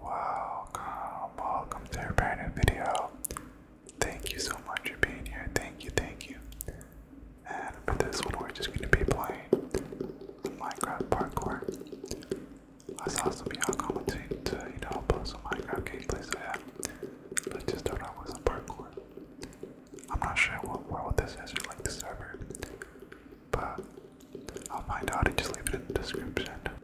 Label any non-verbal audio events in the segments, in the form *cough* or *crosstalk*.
Welcome, welcome to a brand new video. Thank you so much for being here. Thank you, thank you. And for this one, we're just gonna be playing Minecraft Parkour. I saw some of commenting to, you know, post some Minecraft gameplay, so yeah. Let's just start off with some parkour. I'm not sure what world this is or like the server, but I'll find out and just leave it in the description.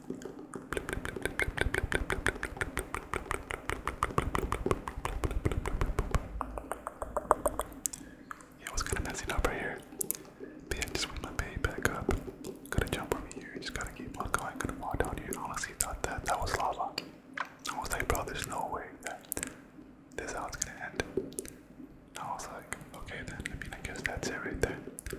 Yeah, I was kind of messing up right here. But yeah, just went my bay back up. Gotta jump over here. Just gotta keep on going. Gotta walk down here. Honestly, thought that that was lava. I was like, bro, there's no way that this is how it's gonna end. I was like, okay then. I mean, I guess that's it right there.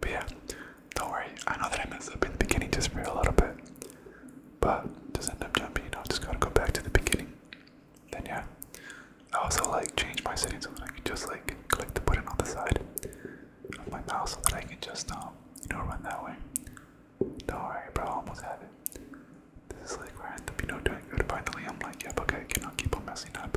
but yeah, don't worry. I know that I messed up in the beginning just for a little bit, but just end up jumping. You know, just gotta go back to the beginning. Then yeah, I also like change my settings so that I can just like click the button on the side of my mouse so that I can just um you know run that way. Don't worry, bro. I almost have it. This is like where I end up, you doing good. Finally, I'm like, yep, okay, I cannot keep on messing up.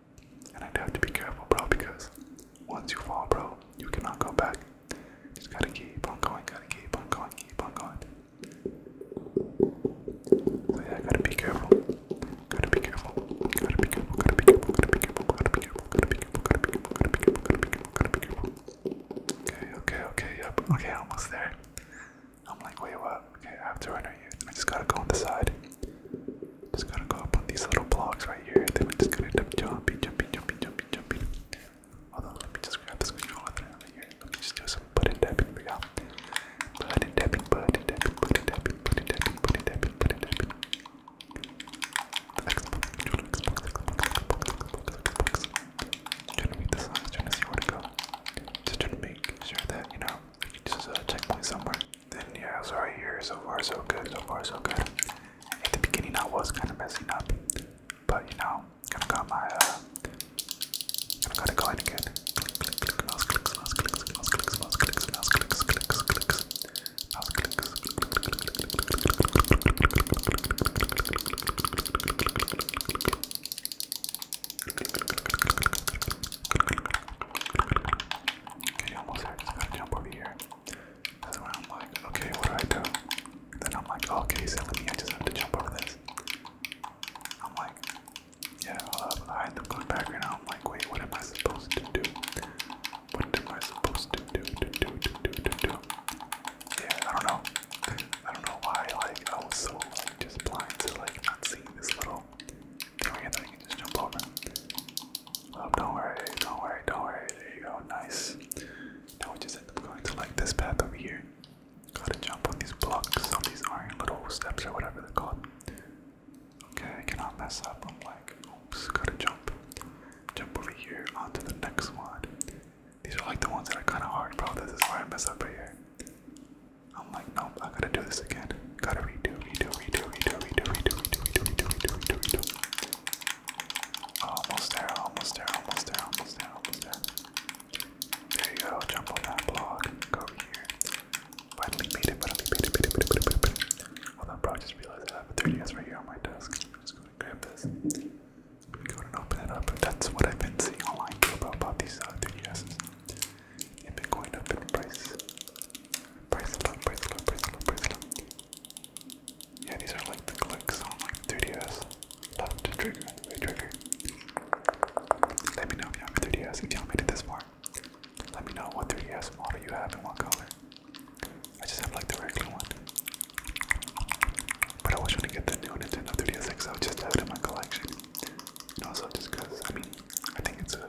And I'd have to be careful, bro, because once you fall, bro, you cannot go back. Just gotta keep on going, gotta keep on going, keep on going. So yeah, gotta be careful. Gotta be careful. Gotta be careful. Gotta be careful. Gotta be careful. Gotta be careful. Gotta be careful. Gotta be careful. Gotta be careful. Gotta be careful. Gotta be careful. Okay, okay, okay, yep. Okay, almost there. I'm like, wait, what? Okay, I have to run right here. I just gotta go on the side. Just gotta go up on these little blocks right here. Then we're just gonna jump, jumping, jumping, jumping, jumping, jumping. Although, let me just grab this controller right here. Let me just do some button tapping for y'all. Button tapping, button tapping, button tapping, button tapping, button tapping, button tapping. Xbox, controller, Xbox, Xbox, Xbox, Xbox, Xbox. I'm trying to make the signs, trying to see where to go. Just trying to make sure that, you know, just a uh, checkpoint somewhere. And yeah, it was here. So far, so good. So far, so good. At the beginning, I was kind of messing up, but you know, kind of got my. Uh, gonna go again. He almost had just gotta jump over here. That's when I'm like, okay, what do I do? Then I'm like, okay, he's I just have to jump over this. I'm like, yeah, hold up. I end up going back right now. I'm like, wait, what am I supposed to do? What am I supposed to do? do. Yeah, I don't know. *laughs* I don't know why, like, I was so, like, just blind to, like, not seeing this little Oh, don't worry, don't worry, don't worry. There you go, nice. Now we just end up going to like this path over here. Gotta jump on these blocks, on these iron little steps or whatever they're called. Okay, I cannot mess up. I'm like, oops, gotta jump. Jump over here onto the next one. These are like the ones that are kind of hard, bro. This is where I mess up here. I'm like, nope, I gotta do this again. Gotta redo, redo, redo, redo, redo, redo, redo, redo, redo, redo, redo. Almost there, almost there, almost there, almost there, almost there. There you go, jump on that block, go over here. Finally made it, finally made it, made it, made it, made it, made it. Hold on, bro, I just realized I have a 3DS right here on my desk. I'm just gonna grab this. Go ahead and open it up. That's what I've been seeing online too about, about these uh, 3DSs and been going up in price. Price a lot, price a lot, price a lot, price a lot. Yeah, these are like the clicks on like 3DS. Love to trigger, they trigger. Let me know if you have 3DS, if y'all made it this far. Let me know what 3DS model you have and what color. I just have like the regular one. But I was trying to get the new Nintendo 3DS XL just to have in my collection. also just because, I mean, I think it's a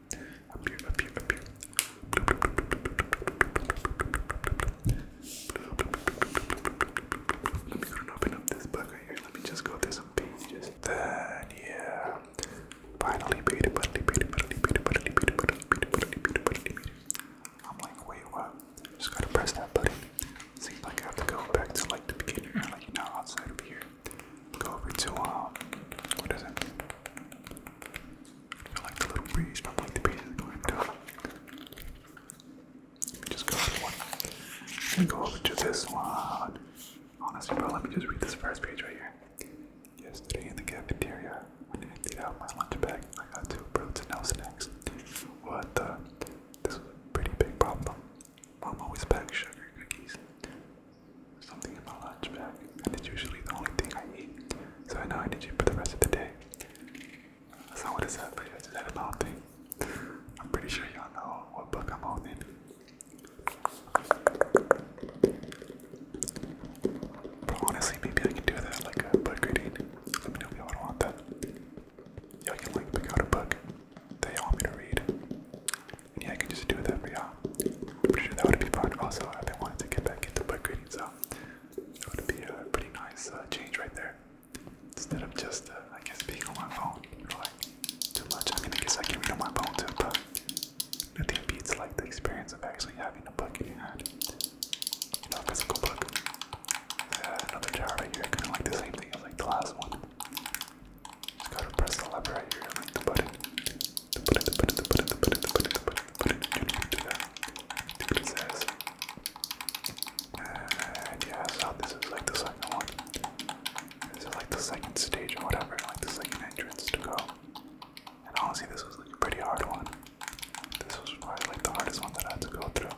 Up here, up here, up here. Let me go and open up this book right here. Let me just go through some pages. Then, yeah. Finally, beat it, finally, beat it, finally, beat it, finally, beat it, finally, beat it, finally, beat it, finally, beat it. I'm like, wait, what? Just gotta press that button. Seems like I have to go back to like the beginner, like, you know, outside of here. Go over to um, what is it? like the little breeze from the breeze is going down. Let me just go over one. Let me go over to this one. Honestly, bro, let me just read this first page right here. Yesterday in the cafeteria, when I emptied out my lunch bag, I got two protein no snacks. What the? This was a pretty big problem. Mom always packs sugar cookies. Something in my lunch bag, and it's usually the only thing I eat, so I know I need you for the rest of the day. Uh, so what is that? But yeah, is that a mountain? I'm pretty sure y'all know what book I'm holding. But honestly, maybe I can do that like a book reading. Let me know if y'all want that. Y'all can like pick out a book that want me to read yeah, I can just do that for y'all. I'm pretty sure that would be fun. Also, if they wanted to get back into book reading, so it would be a pretty nice uh, change right there. Instead of just, uh, I guess, being on my phone too much. I mean, I guess I can read on my phone too, but nothing beats like the experience of actually having a book in your hand. You know, a physical book. Uh, another jar right here, kind of like the same thing as like the last one. Just gotta press the lever right here, like the button. The button, the button, the button, the button, the button, the button, the button. You need to do that. Do what it says. And yeah, so this is like the second one. This is like the second stage or whatever, like the second entrance to go. And honestly, this was like a pretty hard one. This was probably like the hardest one that I had to go through.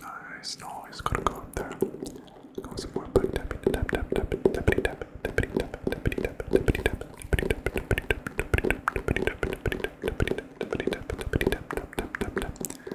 Nice, no, he's gotta go up there. Go some more back tapping, tap tap tap, tappity tap, tappity tap, tappity tap, tappity tap, tappity tap, tappity tap, tappity tap, tappity tap, tappity tap, tappity tap, tappity tap, tappity tap, tap tap tap tap.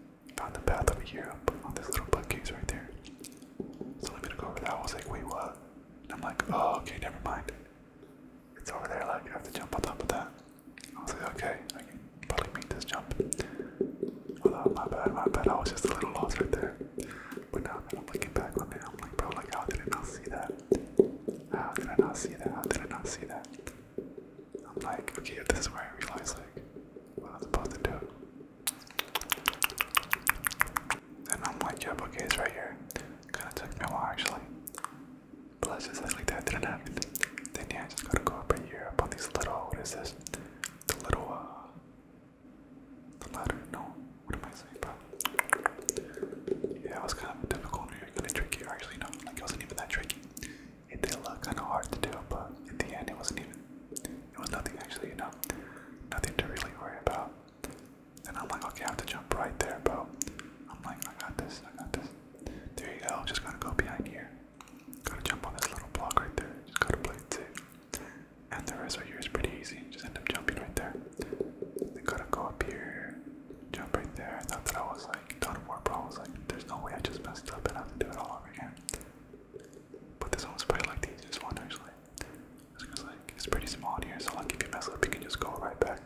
found the path over here up on this little bookcase right there. So let me to go over that. I was like, wait, what? And I'm like, oh, okay, never mind. It's over there. Like, I have to jump on top of that. I was like, okay, I can probably make this jump. Although, my bad, my bad. I was just a little lost right there. But now that I'm looking back on it, I'm like, bro, like, I did not not see that? How did I not see that? How did I not see that? I'm like, okay, this is where I realized like what i was supposed to do. And I'm like, okay, it's right here. Kinda took me a while actually. But let's just like that didn't happen. Then yeah, I just gotta go up here up on these little what is this? The little uh the ladder? No, what am I saying about? Yeah, it was kind of difficult, a little tricky. Actually, no, like it wasn't even that tricky it did look kind of hard to do, but in the end, it wasn't even. It was nothing actually, you know, nothing to really worry about. And I'm like, okay, I have to jump right there, bro. I'm like, I got this, I got this. There you go. Just gotta go behind here. Gotta jump on this little block right there. Just gotta play it safe. And the rest of right here is pretty easy. Just end up jumping right there. Then gotta go up here jump right there. I thought that I was like done for, but I was like, there's no way I just messed up and I have to do it all over again. But this one's probably like the easiest one actually. It's like it's pretty small here, so like if you mess up you can just go right back.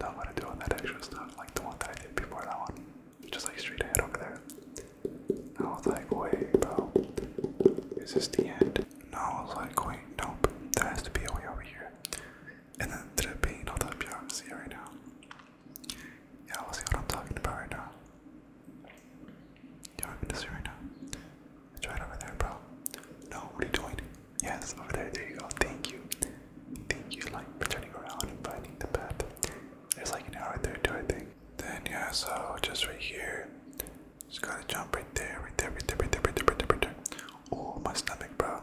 Not what to do on that extra stuff, like the one that I did before that one. Just like straight ahead over there. I was like, wait bro, is this the end? No, I was like, wait, nope, there has to be a way over here and then ended up being all the up y'all see right now. Y'all will see what I'm talking about right now. Y'all can see right now. It's right over there, bro. No, what are you doing? Yes, over there, there you go. Thank you. Thank you, like, for turning around and finding the path. There's like an hour right there too, I think. Then yeah, so just right here. Just gotta jump right there, right there, right there, right there, right there, right there, right there. Oh, my stomach, bro.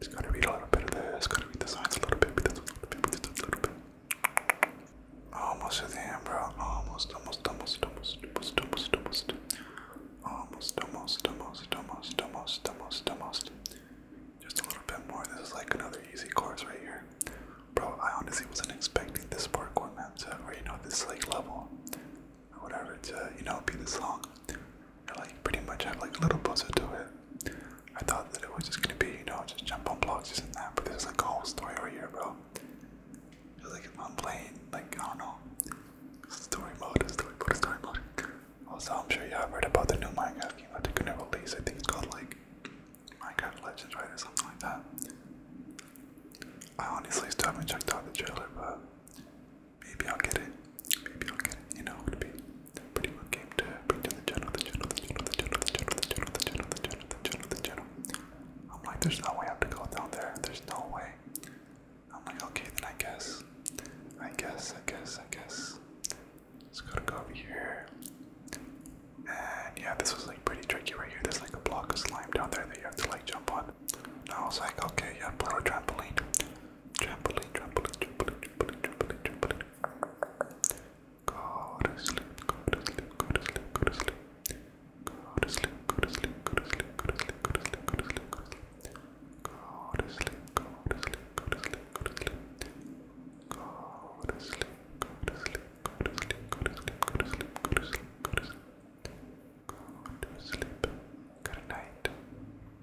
It's gonna be a little bit of this, gonna be the signs a little bit, a little bit, a little bit. Almost at the end, bro. Almost, almost, almost, almost, almost, almost, almost. Almost, almost, almost, almost, almost, almost, almost. Just a little bit more. This is like another easy course right here. Bro, I honestly wasn't expecting this parkour map to, or you know, this like level, or whatever, to, you know, be this long like pretty much have like a little puzzle to it. I thought that it was just gonna be, you know, just jump on blocks, this and that, but there's like a whole story over here, bro. It's like I'm playing, like, I don't know, story mode, story mode, story mode. Also, I'm sure you have heard about the new Minecraft game that they're I think it's called like Minecraft Legends, right, or something like that. I honestly still haven't checked out the trailer, but Maybe I'll get it. Maybe I'll get it. You know, it would be pretty good game to bring to the channel, the channel, the channel, the channel, the channel, the channel, the channel, the channel, the channel, the channel. I'm like, there's no way I have to go down there. There's no way. I'm like, okay, then I guess. I guess, I guess, I guess. Just gotta go over here. And yeah, this was like pretty tricky right here. There's like a block of slime down there that you have to like jump on. And I was like, okay, yeah, play with trampoline. Trampoline, trampoline, trampoline, trampoline, trampoline, trampoline. Go to sleep, go to sleep, go to sleep, go to sleep. Go to sleep, go to sleep, go to sleep, go to sleep, go to sleep, go to sleep, go to sleep. Go to sleep, go to sleep, go to sleep, go to sleep. Go to sleep, go to sleep, go to sleep, go to sleep, go to sleep, go to sleep, go to sleep. Go to sleep. Good night.